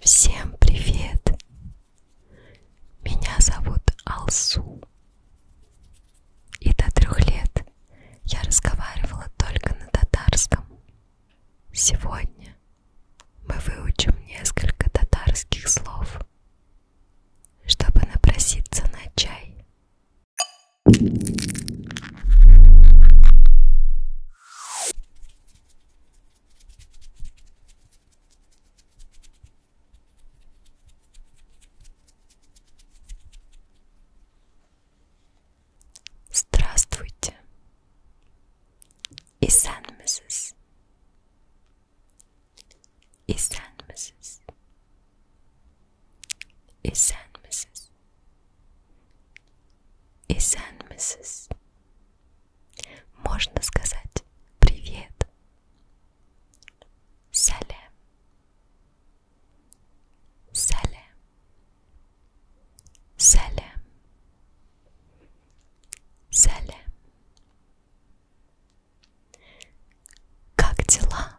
Всем привет! Меня зовут Алсу. И до трех лет я разговаривала только на татарском. Сегодня мы выучим несколько татарских слов, чтобы напроситься на чай Здравствуйте, Исан Миссис, Исан Миссис, Esen misiniz? Esen misiniz? Можно сказать привет. Салем. Салем. Салем. Салем. Как дела?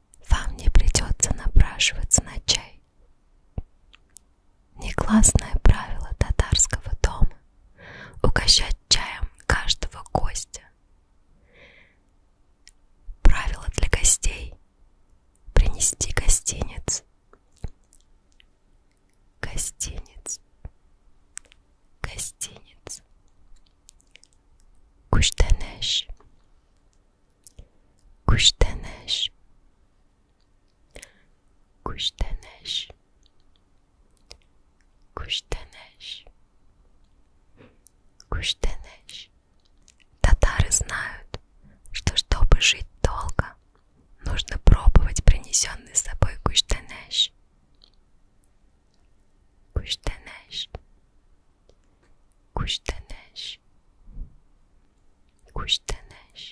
вам не придется напрашиваться на чай. Негласное правило татарского дома – угощать чаем каждого гостя. Правило для гостей – принести гостиниц. Гостиниц. Гостиниц. Куштанеш. Куштанеш. Куштанеш. Куштанеш. Куштанеш. Татары знают, что чтобы жить долго, нужно пробовать принесенный с собой куштанеш. Куштанеш. Куштанеш, куштанеш.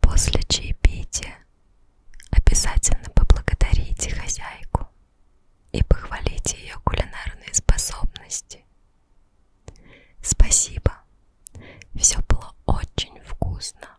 После чаепития обязательно поблагодарите хозяйку и похвалите ее кулинарные способности. Спасибо, все было очень вкусно.